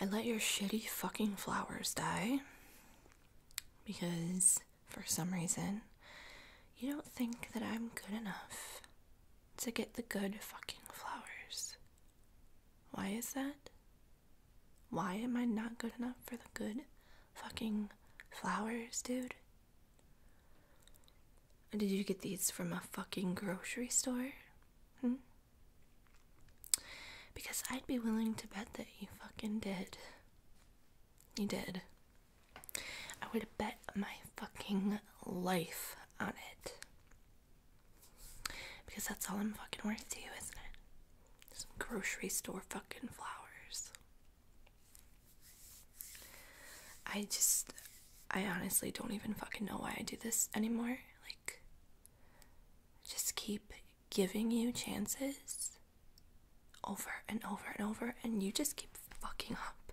I let your shitty fucking flowers die because for some reason you don't think that I'm good enough to get the good fucking flowers. Why is that? Why am I not good enough for the good fucking flowers, dude? Did you get these from a fucking grocery store? Hmm? Because I'd be willing to bet that you fucking did. You did. I would have bet my fucking life on it. Because that's all I'm fucking worth to you, isn't it? Some grocery store fucking flowers. I just. I honestly don't even fucking know why I do this anymore. Like, just keep giving you chances over and over and over, and you just keep fucking up.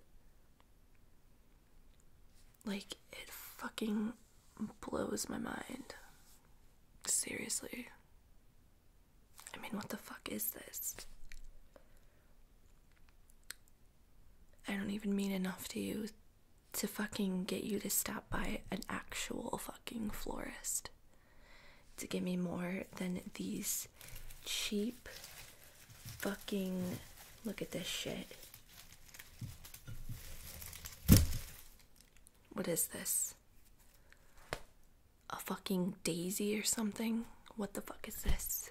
Like, it fucking blows my mind. Seriously. I mean, what the fuck is this? I don't even mean enough to you to fucking get you to stop by an actual fucking florist to give me more than these cheap fucking look at this shit. What is this? A fucking daisy or something? What the fuck is this?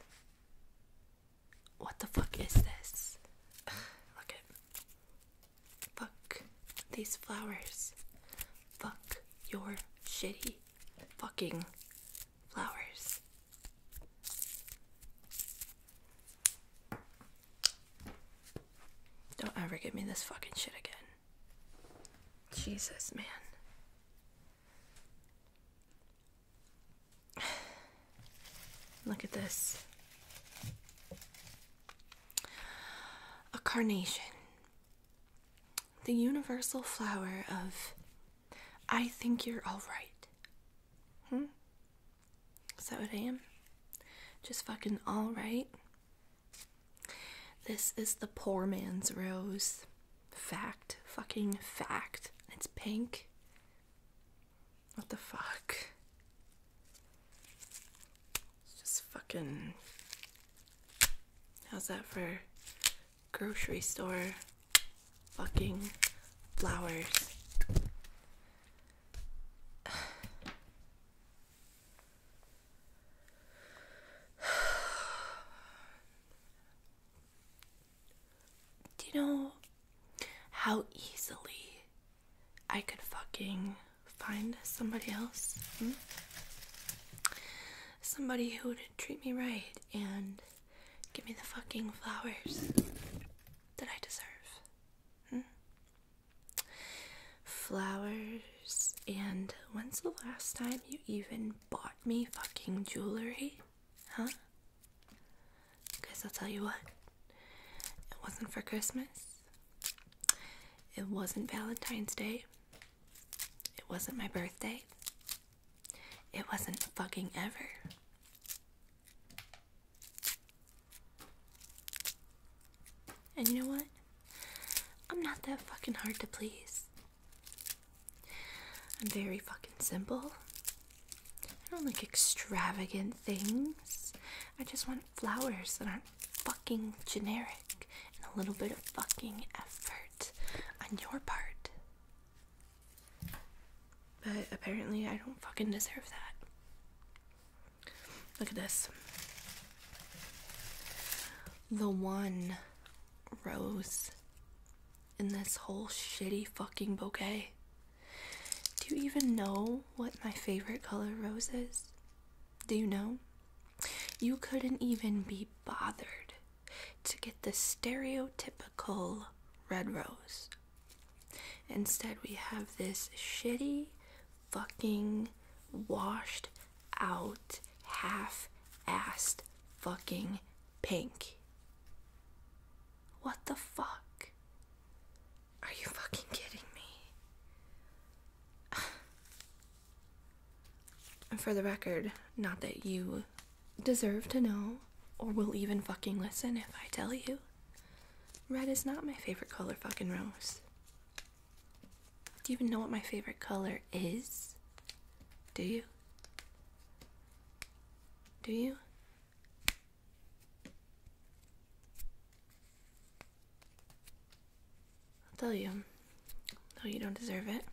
What the fuck is this? look at Fuck these flowers. Fuck your shitty fucking flowers. Don't ever give me this fucking shit again. Jesus, man. Look at this. A carnation. The universal flower of I think you're alright. Hmm? Is that what I am? Just fucking alright? This is the poor man's rose. Fact. Fucking fact. It's pink. What the fuck? It's just fucking. How's that for grocery store fucking flowers? Do you know how easily I could fucking find somebody else. Hmm? Somebody who would treat me right and give me the fucking flowers that I deserve. Hmm? Flowers, and when's the last time you even bought me fucking jewelry? Huh? Guess I'll tell you what, it wasn't for Christmas, it wasn't Valentine's Day, it wasn't my birthday, it wasn't fucking ever. And you know what? I'm not that fucking hard to please. I'm very fucking simple. I don't like extravagant things. I just want flowers that aren't fucking generic and a little bit of fucking effort on your part. But apparently, I don't fucking deserve that. Look at this. The one rose in this whole shitty fucking bouquet. Do you even know what my favorite color rose is? Do you know? You couldn't even be bothered to get the stereotypical red rose. Instead, we have this shitty, fucking, washed out, half assed fucking pink. What the fuck? Are you fucking kidding me? For the record, not that you deserve to know or will even fucking listen if I tell you. Red is not my favorite color, fucking rose. Do you even know what my favorite color is? Do you? Do you? I'll tell you, no, you don't deserve it.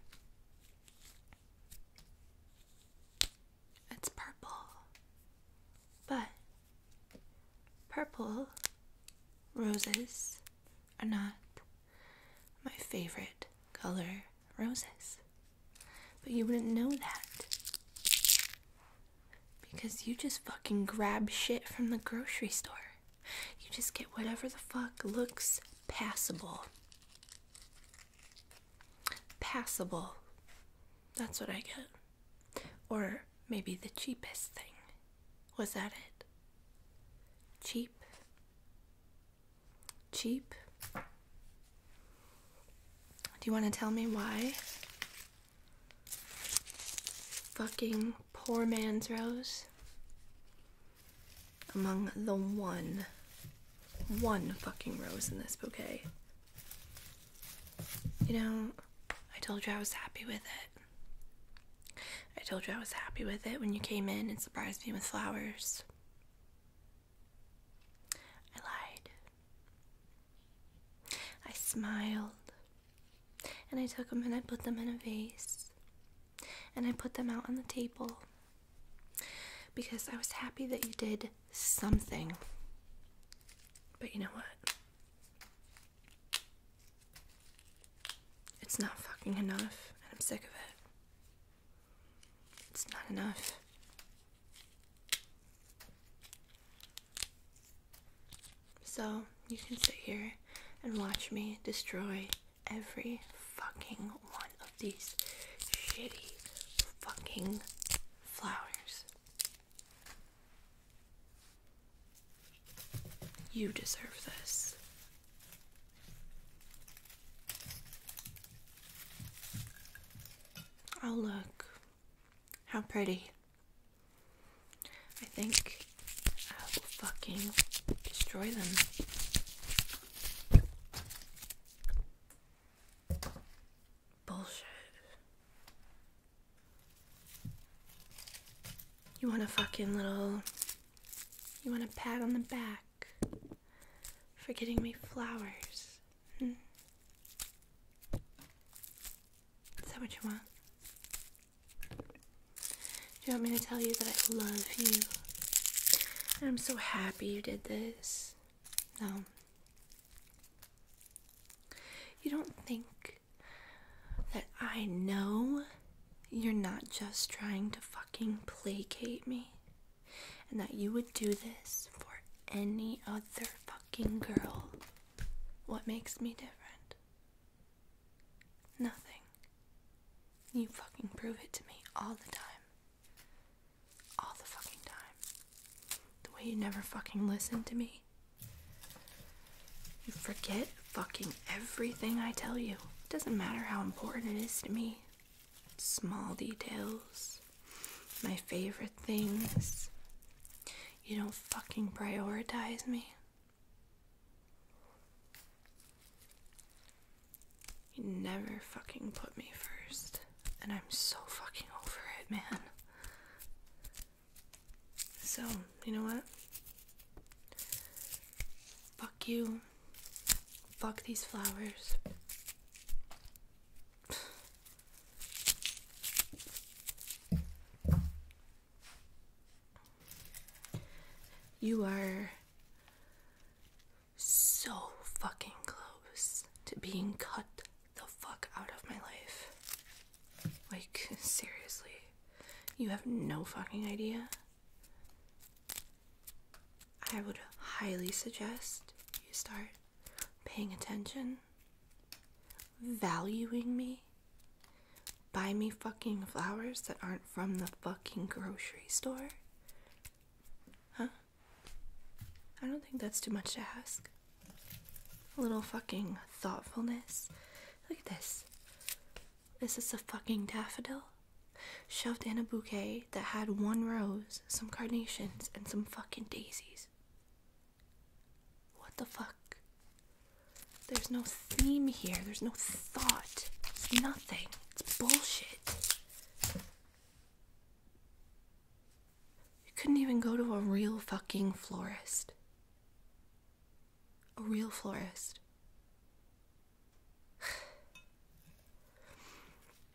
It's purple, but purple roses are not my favorite color roses. But you wouldn't know that because you just fucking grab shit from the grocery store. You just get whatever the fuck looks passable. Passable. That's what I get. Or maybe the cheapest thing. Was that it? Cheap. Cheap. Do you want to tell me why? Fucking poor man's rose. Among the one, one fucking rose in this bouquet. You know, I told you I was happy with it. I told you I was happy with it when you came in and surprised me with flowers. I lied. I smiled. And I took them and I put them in a vase. And I put them out on the table. Because I was happy that you did something. But you know what? It's not fucking enough, and I'm sick of it. It's not enough. So you can sit here and watch me destroy every fucking one of these shitty fucking flowers. You deserve this. I'll look how pretty. I think I will fucking destroy them. Bullshit. You want a fucking little. You want a pat on the back for getting me flowers. Hmm. Is what you want? Do you want me to tell you that I love you? I'm so happy you did this. No. You don't think that I know you're not just trying to fucking placate me? and that you would do this for any other fucking girl. What makes me different? Nothing. You fucking prove it to me all the time. All the fucking time. The way you never fucking listen to me. You forget fucking everything I tell you. It doesn't matter how important it is to me small details, my favorite things. You don't fucking prioritize me. You never fucking put me first. And I'm so fucking over it, man. So, you know what? Fuck you. Fuck these flowers. You are so fucking close to being cut the fuck out of my life. Like, seriously. You have no fucking idea. I would highly suggest you start paying attention, valuing me, buy me fucking flowers that aren't from the fucking grocery store? Huh? I don't think that's too much to ask. A little fucking thoughtfulness. Look at this. This is a fucking daffodil shoved in a bouquet that had one rose some carnations, and some fucking daisies. What the fuck? There's no theme here. There's no thought. It's nothing. It's bullshit. You couldn't even go to a real fucking florist. A real florist.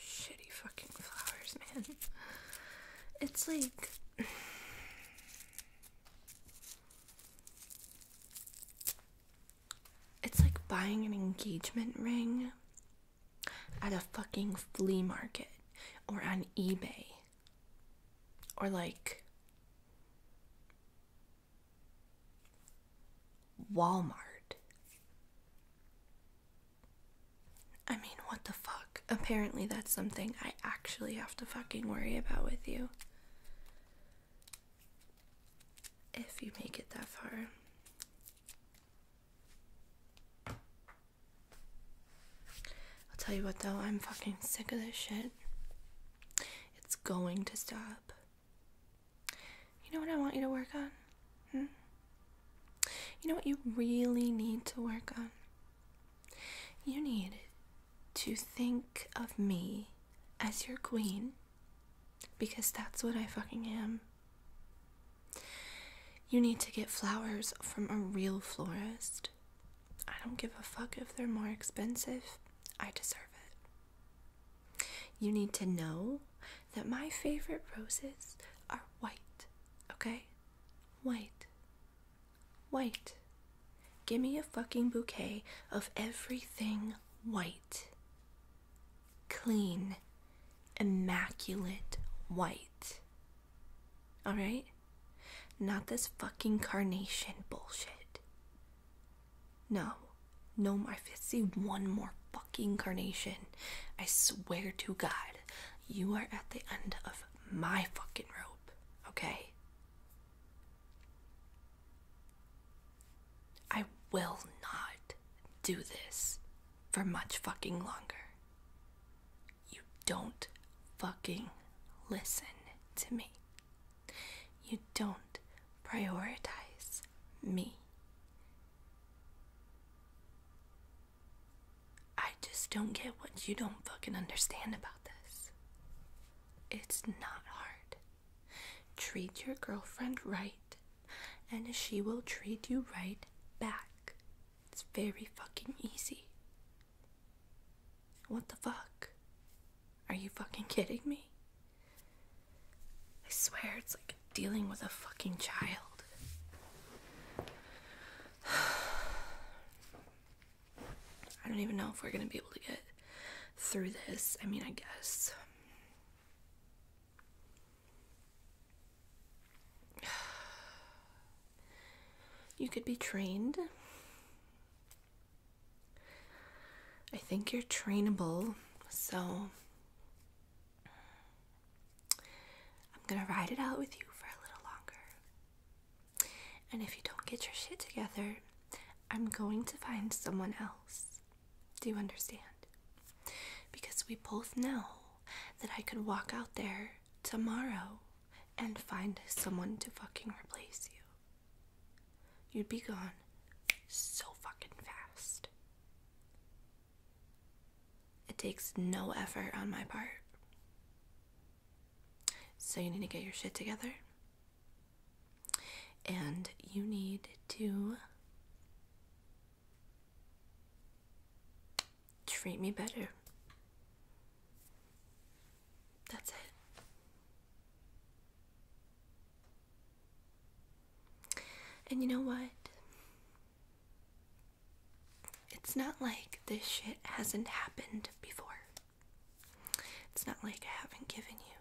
Shitty fucking flowers, man. It's like it's like buying an engagement ring at a fucking flea market or on eBay or like Walmart. I mean, what the fuck? Apparently, that's something I actually have to fucking worry about with you if you make it that far. I'll tell you what though, I'm fucking sick of this shit. It's going to stop. You know what I want you to work on? Hmm? You know what you really need to work on? You need to think of me as your queen because that's what I fucking am. You need to get flowers from a real florist. I don't give a fuck if they're more expensive. I deserve it. You need to know that my favorite roses are white, okay? White. White. Give me a fucking bouquet of everything white. Clean, immaculate white. Alright? Not this fucking carnation bullshit. No. No, more. see one more fucking carnation. I swear to God, you are at the end of my fucking rope, okay? I will not do this for much fucking longer. You don't fucking listen to me. You don't prioritize me. I just don't get what you don't fucking understand about this. It's not hard. Treat your girlfriend right, and she will treat you right back. It's very fucking easy. What the fuck? Are you fucking kidding me? I swear it's like dealing with a fucking child. I don't even know if we're going to be able to get through this. I mean, I guess. You could be trained. I think you're trainable, so I'm gonna ride it out with you for a little longer. And if you don't get your shit together, I'm going to find someone else. Do you understand? Because we both know that I could walk out there tomorrow and find someone to fucking replace you. You'd be gone so fucking fast. It takes no effort on my part. So you need to get your shit together. And you need to treat me better. That's it. And you know what? It's not like this shit hasn't happened before. It's not like I haven't given you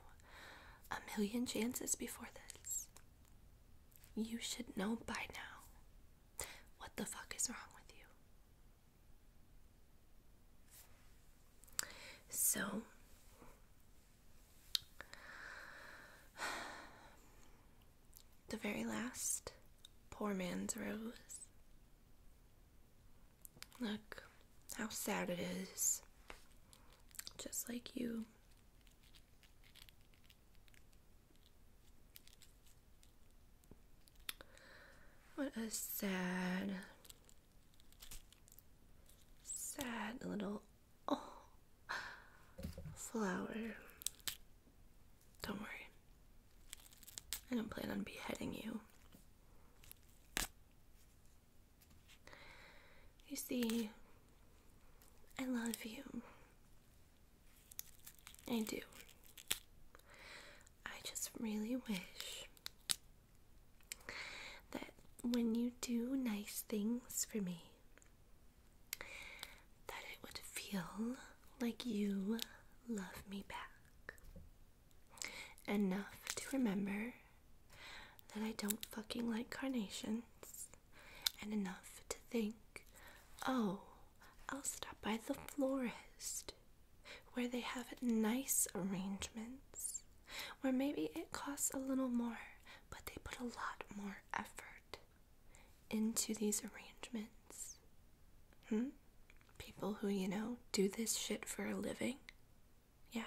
a million chances before this. You should know by now what the fuck is wrong with you. So, the very last poor man's rose Look how sad it is. Just like you. What a sad, sad little oh, flower. Don't worry. I don't plan on beheading you. You see, I love you. I do. I just really wish that when you do nice things for me, that it would feel like you love me back. Enough to remember that I don't fucking like carnations, and enough to think, oh, I'll stop by the florist where they have nice arrangements, where maybe it costs a little more, but they put a lot more effort into these arrangements. Hmm? People who, you know, do this shit for a living? Yeah.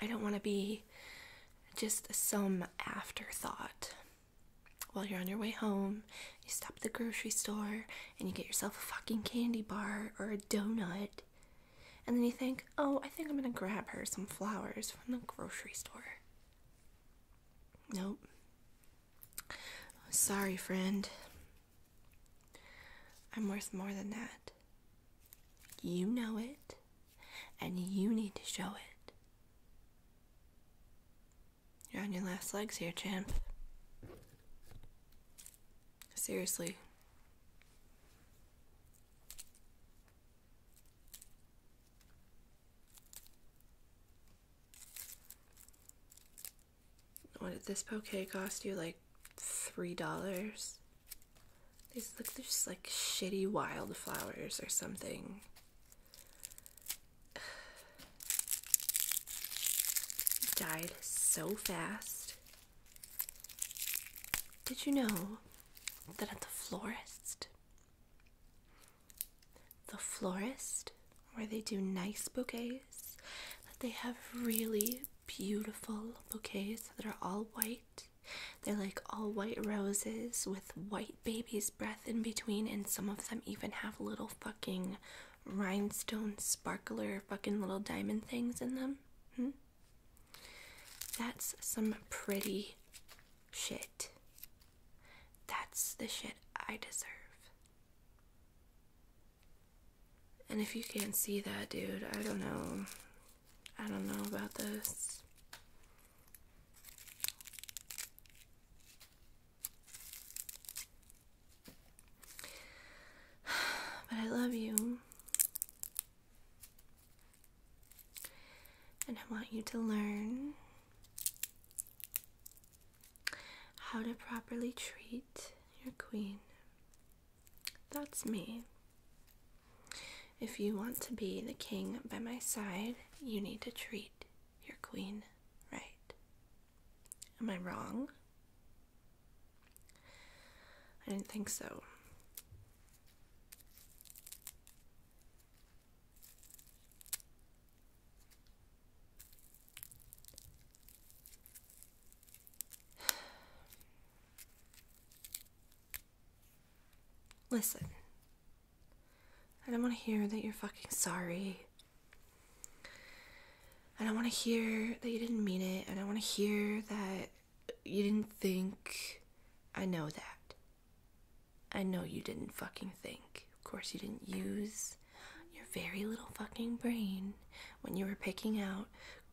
I don't want to be just some afterthought. While you're on your way home, you stop at the grocery store and you get yourself a fucking candy bar or a donut. And then you think, oh, I think I'm gonna grab her some flowers from the grocery store. Nope. Sorry, friend. I'm worth more than that. You know it and you need to show it. You're on your last legs here, champ. Seriously. What did this poke cost you? Like three dollars? These look, they like shitty wildflowers or something. Died so fast. Did you know that at the florist, the florist where they do nice bouquets, that they have really beautiful bouquets that are all white? They're like all white roses with white baby's breath in between, and some of them even have little fucking rhinestone sparkler fucking little diamond things in them. Hmm? That's some pretty shit. That's the shit I deserve. And if you can't see that, dude, I don't know. I don't know about this. But I love you. And I want you to learn how to properly treat your queen. That's me. If you want to be the king by my side, you need to treat your queen right. Am I wrong? I didn't think so. Listen, I don't want to hear that you're fucking sorry. I don't want to hear that you didn't mean it. I don't want to hear that you didn't think. I know that. I know you didn't fucking think. Of course, you didn't use your very little fucking brain when you were picking out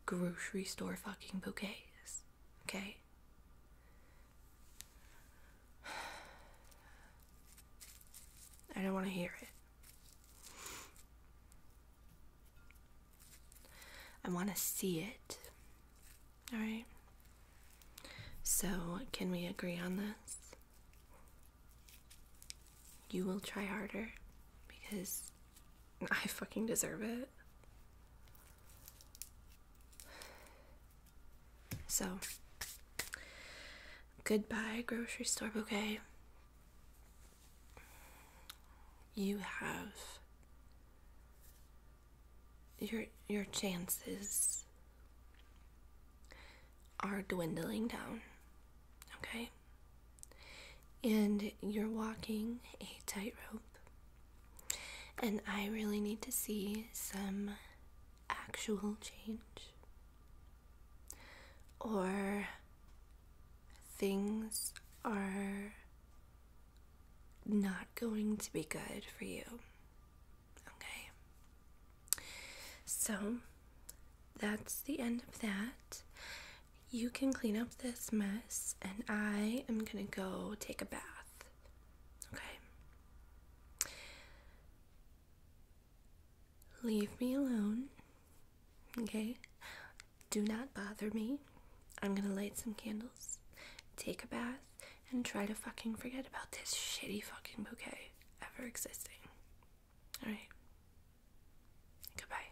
grocery store fucking bouquets. Okay? I don't want to hear it. I want to see it. Alright? So, can we agree on this? You will try harder because I fucking deserve it. So, goodbye, grocery store bouquet. You have your your chances are dwindling down. Okay? And you're walking a tightrope and I really need to see some actual change or things are not going to be good for you. Okay. So that's the end of that. You can clean up this mess, and I am gonna go take a bath. Okay? Leave me alone. Okay? Do not bother me. I'm gonna light some candles, take a bath, and try to fucking forget about this shitty fucking bouquet ever existing. Alright. Goodbye.